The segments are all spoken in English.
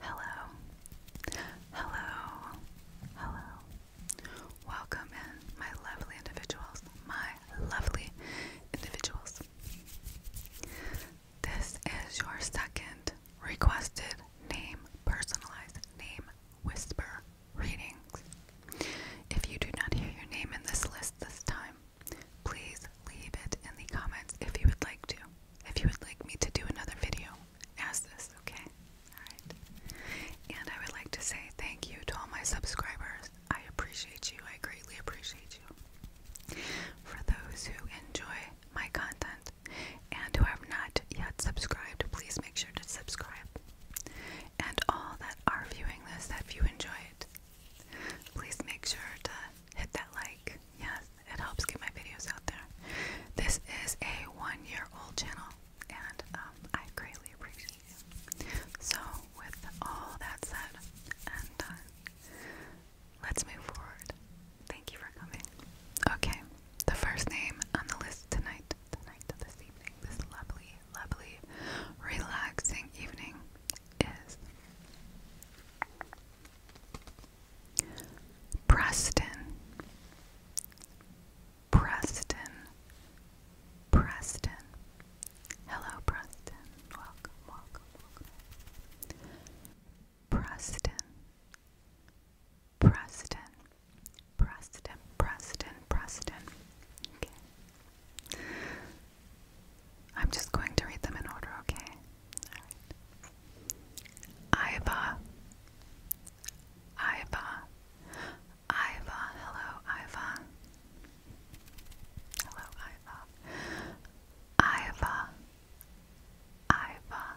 Hello. Hello. Hello. Welcome in, my lovely individuals. My lovely individuals. This is your second requested name personalized name whisper Ratings. If you do not hear your name in this list this time, please leave it in the comments if you would like to. If you would like me to do another video, ask this, okay? Alright. And I would like to say thank you to all my subscribers. I appreciate you. I greatly appreciate you. For those who enjoy my content and who have not yet subscribed, please make sure to subscribe and all that are viewing this if you enjoy it. Please make sure to hit that like. Yes, it helps get my videos out there. This is a one year old channel and um, I greatly appreciate you. So, with all that said and done, let's move forward. Thank you for coming. Okay, the first name on the list tonight tonight to this evening, this lovely, lovely, relaxing evening is Preston, Preston, Preston. Hello, Preston. Welcome, welcome, welcome. Preston, Preston. Preston, Preston, Preston. Okay. I'm just going to read them in order, okay? Iva. Iva. Iva. Hello, Iva. Hello, Iva. Iva. Iva. Iva.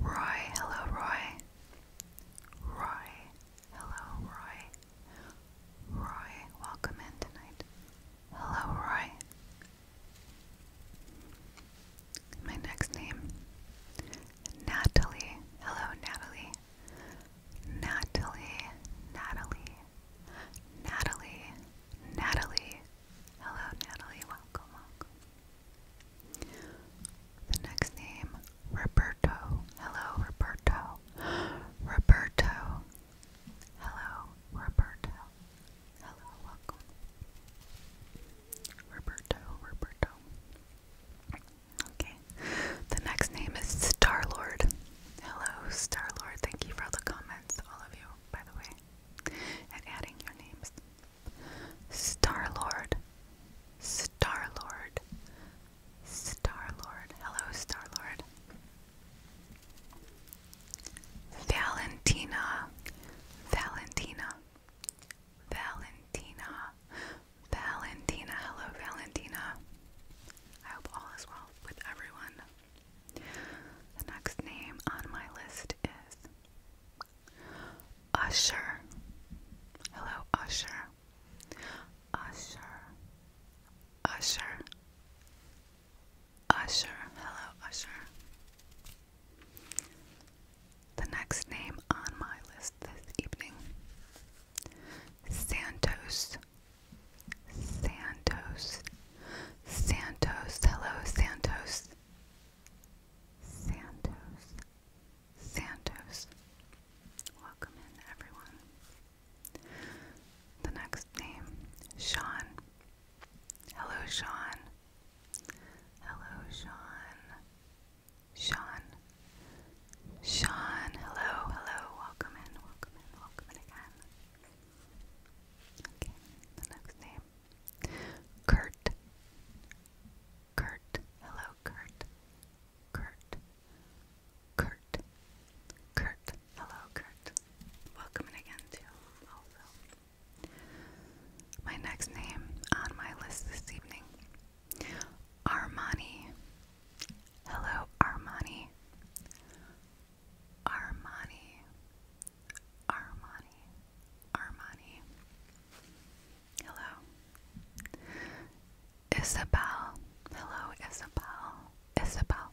Roy, hello, Roy. Roy, hello, Roy. Roy, welcome in tonight. Hello, Roy. My next name, Natalie. Hello, Natalie. Natalie, Natalie, Natalie, Natalie. Hello, Natalie. Welcome, welcome. The next name, Roberto. Hello, Roberto. Roberto. Hello, Roberto. Hello, welcome. Roberto, Roberto. Okay. The next name is Starlord. Hello, Star Thank you for all the comments, all of you, by the way, and adding your names. Star Lord, Star Lord, Star Lord. Hello, Star Lord. Valentina, Valentina, Valentina, Valentina. Hello, Valentina. I hope all is well with everyone. The next name on my list is Usher. Hello, Usher. Usher. Usher. Usher. Hello, Usher. The next name on my list this evening Santos. Santos. Santos. Hello, Santos. Santos. Santos. Welcome in, everyone. The next name, Sean. Hello, Sean. Hello, Sean. Sean. Sean, hello, hello. Welcome in, welcome in, welcome in again. Okay, the next name, Kurt. Kurt. Hello, Kurt. Kurt. Kurt. Kurt. Hello, Kurt. Welcome again to also. My next name on my list this evening. Armani. Hello, Armani. Armani. Armani. Armani. Hello. Isabel. Hello, Isabel. Isabel.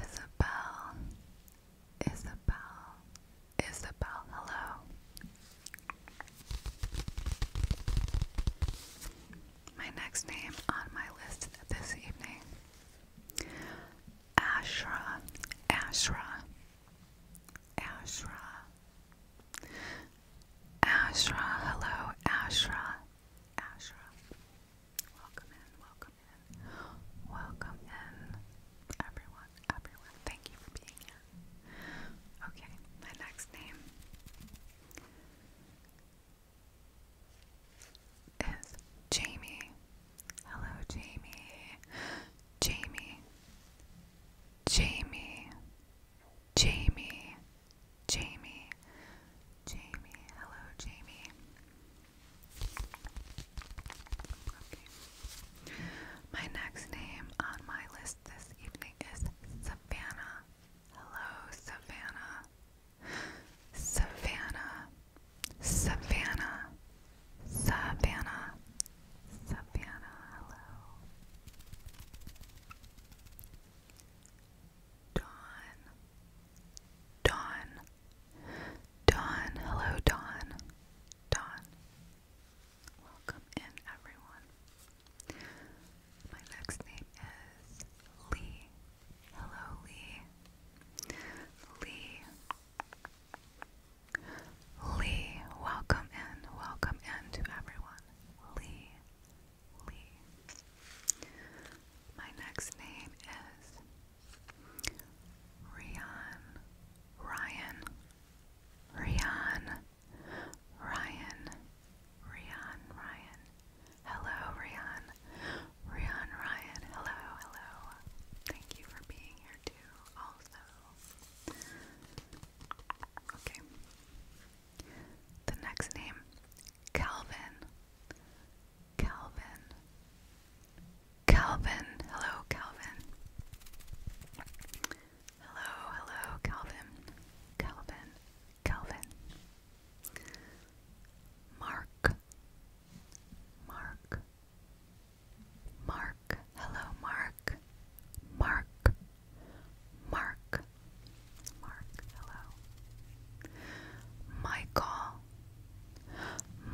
Isabel. Isabel. Isabel. Hello. My next name on my list this evening Ashra, Ashra, Ashra, Ashra, hello, Ashra, Ashra. Welcome in, welcome in, welcome in, everyone, everyone. Thank you for being here. Okay, my next name is Jamie. Hello, Jamie. Jamie. Jamie. Jamie. Jamie. Jamie. Hello, Jamie. My next name on my list this evening is Savannah. Hello, Savannah. Savannah. Savannah, Savannah, Savannah, hello. Dawn, Dawn, Dawn, hello, Dawn, Dawn. Welcome in, everyone. My next name is Lee. Hello, Lee. Lee, Lee, welcome in, welcome in to everyone. Lee, Lee. My next name is Ryan, Ryan, Ryan, Ryan, Ryan, Ryan. Hello, Ryan. Rian Ryan, hello, hello. Thank you for being here too, also. Okay. The next name, Calvin. Calvin. Calvin. Hello, Calvin. Hello, hello, Calvin. Calvin. Calvin. Mark. Mark. Mark. Hello, Mark. Mark. Mark. Mark. Hello. Michael.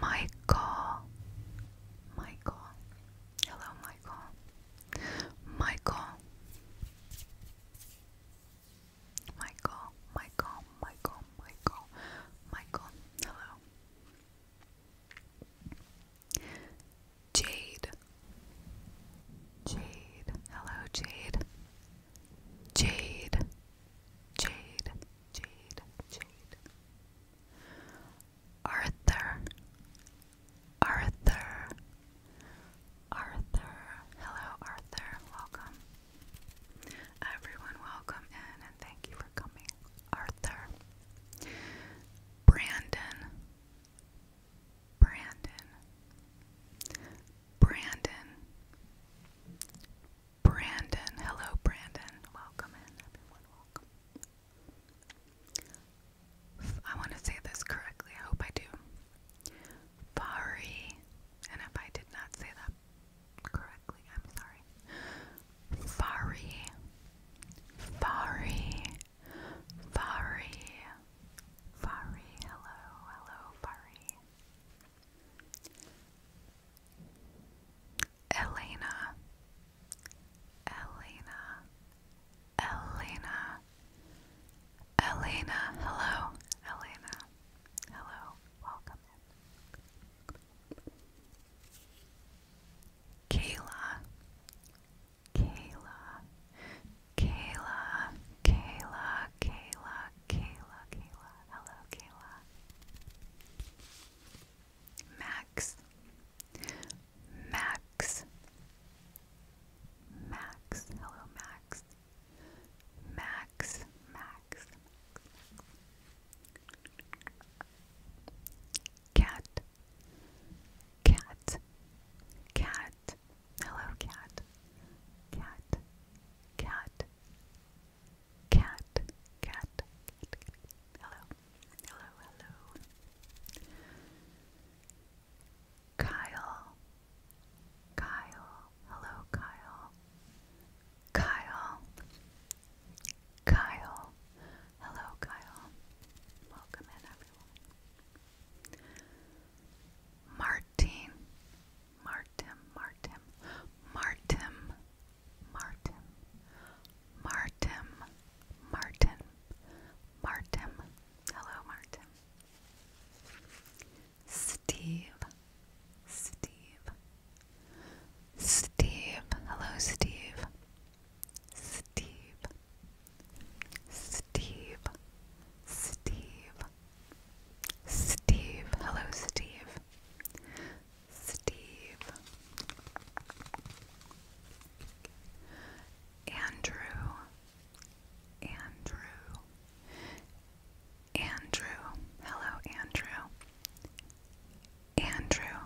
Michael. Michael. Hello, Michael. Michael. Michael, Michael, Michael, Michael. Michael, hello. Jade. Jade. Hello, Jade. Jade. Jade. Jade. Jade. Arthur. Arthur. Arthur. Hello, Arthur. Welcome. Everyone, welcome in and thank you for coming. Arthur, Brandon, Brandon, Brandon, Brandon. Hello, Brandon. Welcome in, everyone. Welcome. I want to say this correctly. I hope I do. Fari, and if I did not say that correctly. I'm sorry. Fari. Fari. Fari. Fari. Hello. Hello, Fari. Elena. Elena. Elena. Elena. Hello. Elena. Hello. Welcome. Kayla, Kayla, Kayla, Kayla, Kayla, Kayla, Kayla, hello, Kayla. Max, Max, Max, hello, Max. Max, Max, Cat, Cat, Cat, hello cat, cat, cat, cat, cat, hello, hello, hello. Kyle, Kyle, Hello, Kyle. Kyle. Kyle. Hello, Kyle. Welcome in, everyone. Martin. Martin. Martin. Martin. Martin. Martin. Martin. Hello, Martin. Steve. Steve. Steve. Hello, Steve. Steve. Steve. Steve. Steve. Hello, Steve. Steve. Andrew. Andrew. Andrew. Hello, Andrew. Andrew.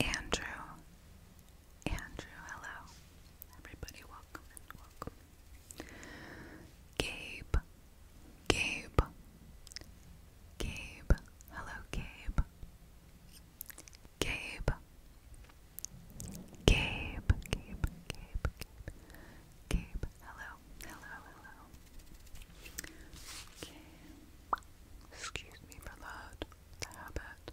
Andrew. Andrew, hello. Everybody, welcome and welcome. Gabe. Gabe. Gabe. Hello, Gabe. Gabe. Gabe. Gabe. Gabe. Gabe. Gabe, hello, hello, hello. Okay. Excuse me for that. The habit.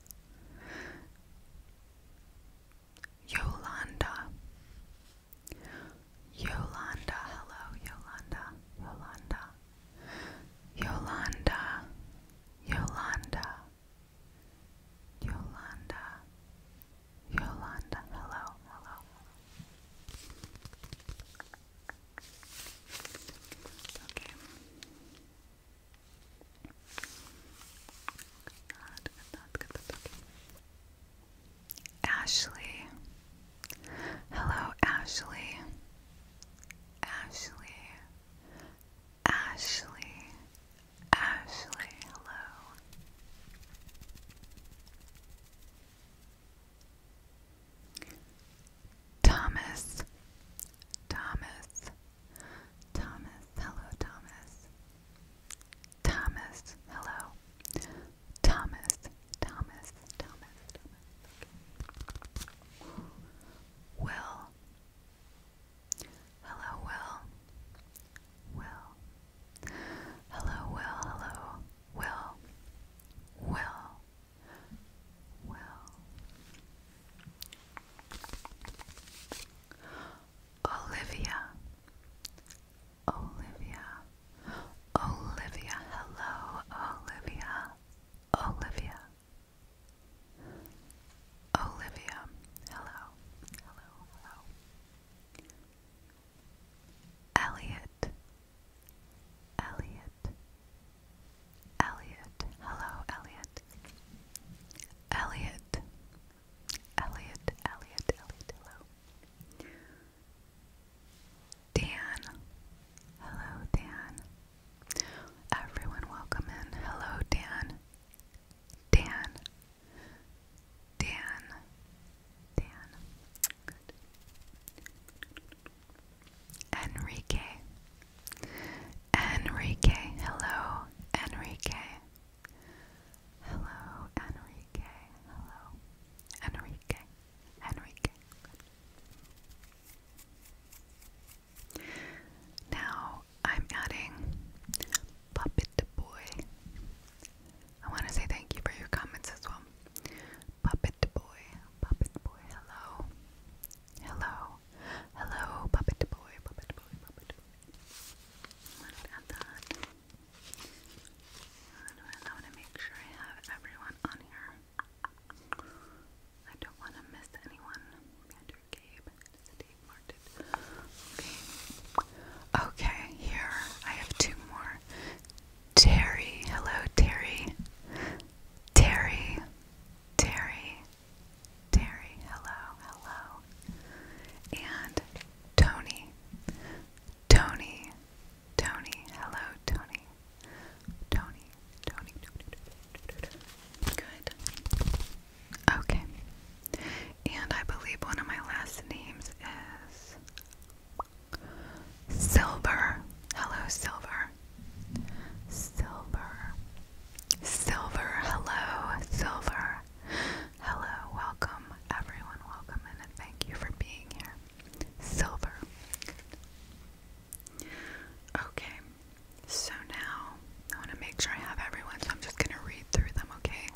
Yolanda. Yolanda, hello, Yolanda, Yolanda. Yolanda, Yolanda, Yolanda, Yolanda, hello, hello. Okay. Good, good, good, good, okay. Ashley. Hello, Ashley. Ashley. Ashley. Ashley. Hello. Thomas, Thomas, Thomas, hello, Thomas, Thomas, hello, Thomas, Thomas, Thomas, Thomas, hello, Will, Will. Hello, Will. Hello, Will. Will. Will. Olivia. Olivia. Olivia. Hello, Olivia. Olivia. Olivia. Hello. Hello. Hello. Elliot. Elliot. Elliot. Hello, Elliot. Elliot. Elliot. Elliot. Elliot. Hello. Dan. Hello, Dan. Everyone, welcome in. Hello, Dan. Dan, Dan, Dan. Enrique, Enrique. Hello, Enrique. Hello, Enrique. Hello, Enrique. Enrique. Good. Now I'm adding Puppet Boy. I want to say thank you for your comments as well. Puppet Boy, Puppet Boy, hello. Hello. Hello, Puppet Boy, Puppet Boy, Puppet Boy. Let me add that. I want to make sure I have everyone on here. I don't want to miss anyone. Andrew Gabe, City, marked it. Okay. Okay, here I have two more. Terry, hello Terry. Terry, Terry, Terry, hello, hello. And Tony, Tony, Tony, hello Tony. Tony, Tony, Tony, Tony, Tony, Tony. Good. Okay. And I believe one of my last names is Silver. Hello, Silver. Silver. Silver. Hello, Silver. Hello, welcome. Everyone, welcome and thank you for being here. Silver. Okay, so now I want to make sure I have everyone, so I'm just going to read through them, okay?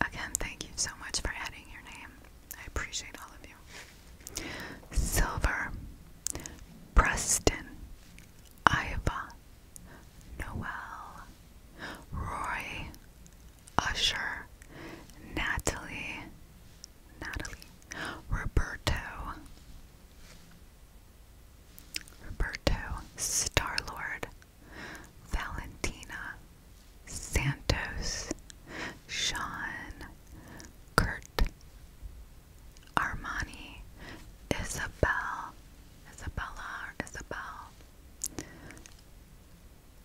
Again, thank you so much for adding your name. I appreciate all of you. Silver, Preston, Iva, Noel, Roy, Usher, Natalie, Natalie, Roberto, Roberto, Star Lord, Valentina Santos, Sean, Kurt, Armani, Isabel, Isabella, Isabel,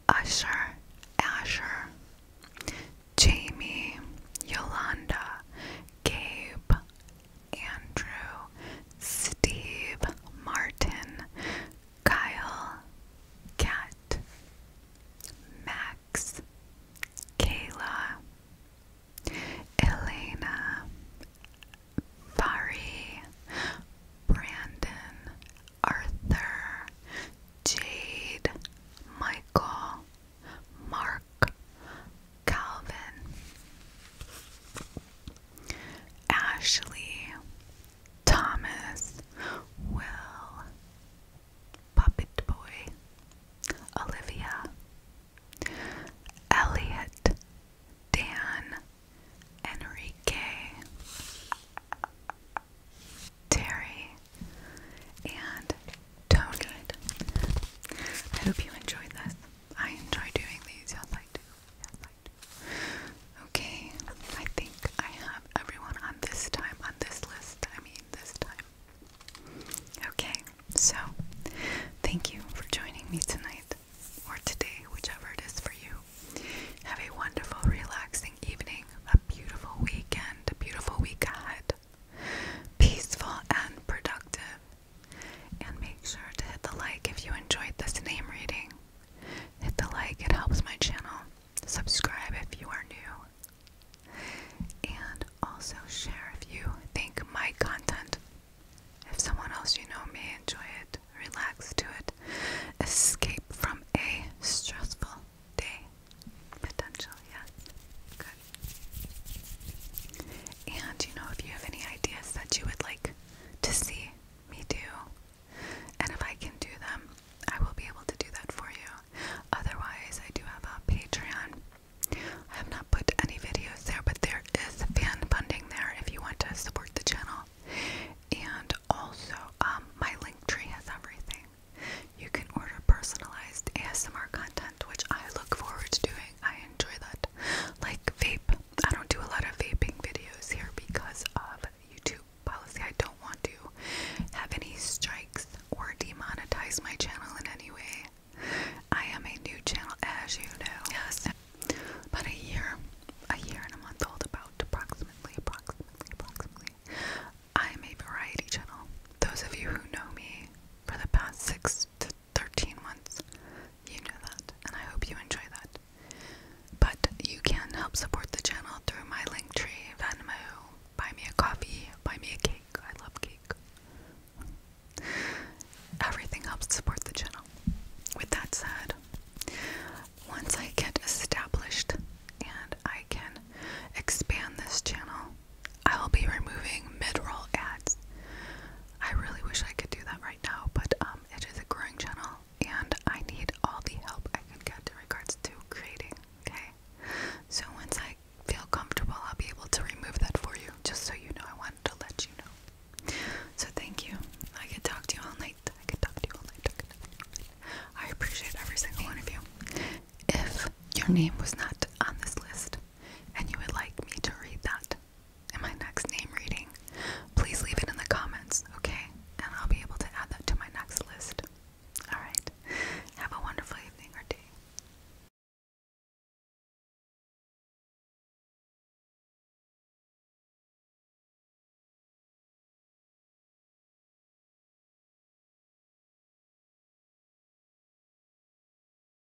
Usher, Asher, Jamie, Yolanda, Gabe, Andrew, Steve, Martin, Kyle, Kat, Max, Kayla, Elena, Fari, Brandon, Arthur, Jade, Michael, Mark, Calvin, Ashley, Thomas, Will, Puppet Boy, Olivia, Elliot, Dan, Enrique, Terry, and Tony. I hope you enjoyed this. I enjoy doing these. Yes, I do. Yes, I do. Okay, I think I have everyone on this time, on this list. I mean, this time. Okay, so thank you for joining me tonight or today, whichever it is for you. Have a wonderful, relaxing evening, a beautiful weekend, a beautiful week ahead. Peaceful and productive. And make sure to hit the like if you enjoyed this name reading. Hit the like, it helps my channel. Subscribe if you are new. And also share if you think my content, if someone else you know may enjoy it, relax to it, escape from a stressful day. Potential, yes. Good. And you know, if you have any ideas that you would like to see me do, and if I can do them, I will be able to do that for you. Otherwise, I do have a Patreon. I have not put any videos there, but there is fan funding there if you want to support the channel. And also, um, my link tree has everything. You can order personalized ASMR content, which I look forward to doing. I enjoy that like vape. I don't do a lot of vaping videos here because of YouTube policy. I don't want to have any strikes or demonetize my channel in any way. I am a new channel, as you know. Yes. But a year, a year and a month old, about approximately, approximately, approximately. I'm a variety channel. Those of you who know me for the past six to 13 months. You know that, and I hope you enjoy that. But you can help support the channel through my link tree, Venmo, buy me a coffee, buy me a cake. I love cake. Everything helps support the channel. With that said, once I get established and I can expand this channel, I will be removing mid roll ads. I really wish I could do that right now, but um, it is a growing channel, and I need all the help I can get in regards to creating. Okay, so once I feel comfortable, I'll be able to remove that for you, just so you know. I wanted to let you know. So thank you. I could talk to you all night. I can talk to you all night. I appreciate every single one of you. If your name was not on this list, and you would like me to read that, in my next name reading, please leave it in the comments, okay? And I'll be able to add that to my next list. Alright, have a wonderful evening or day.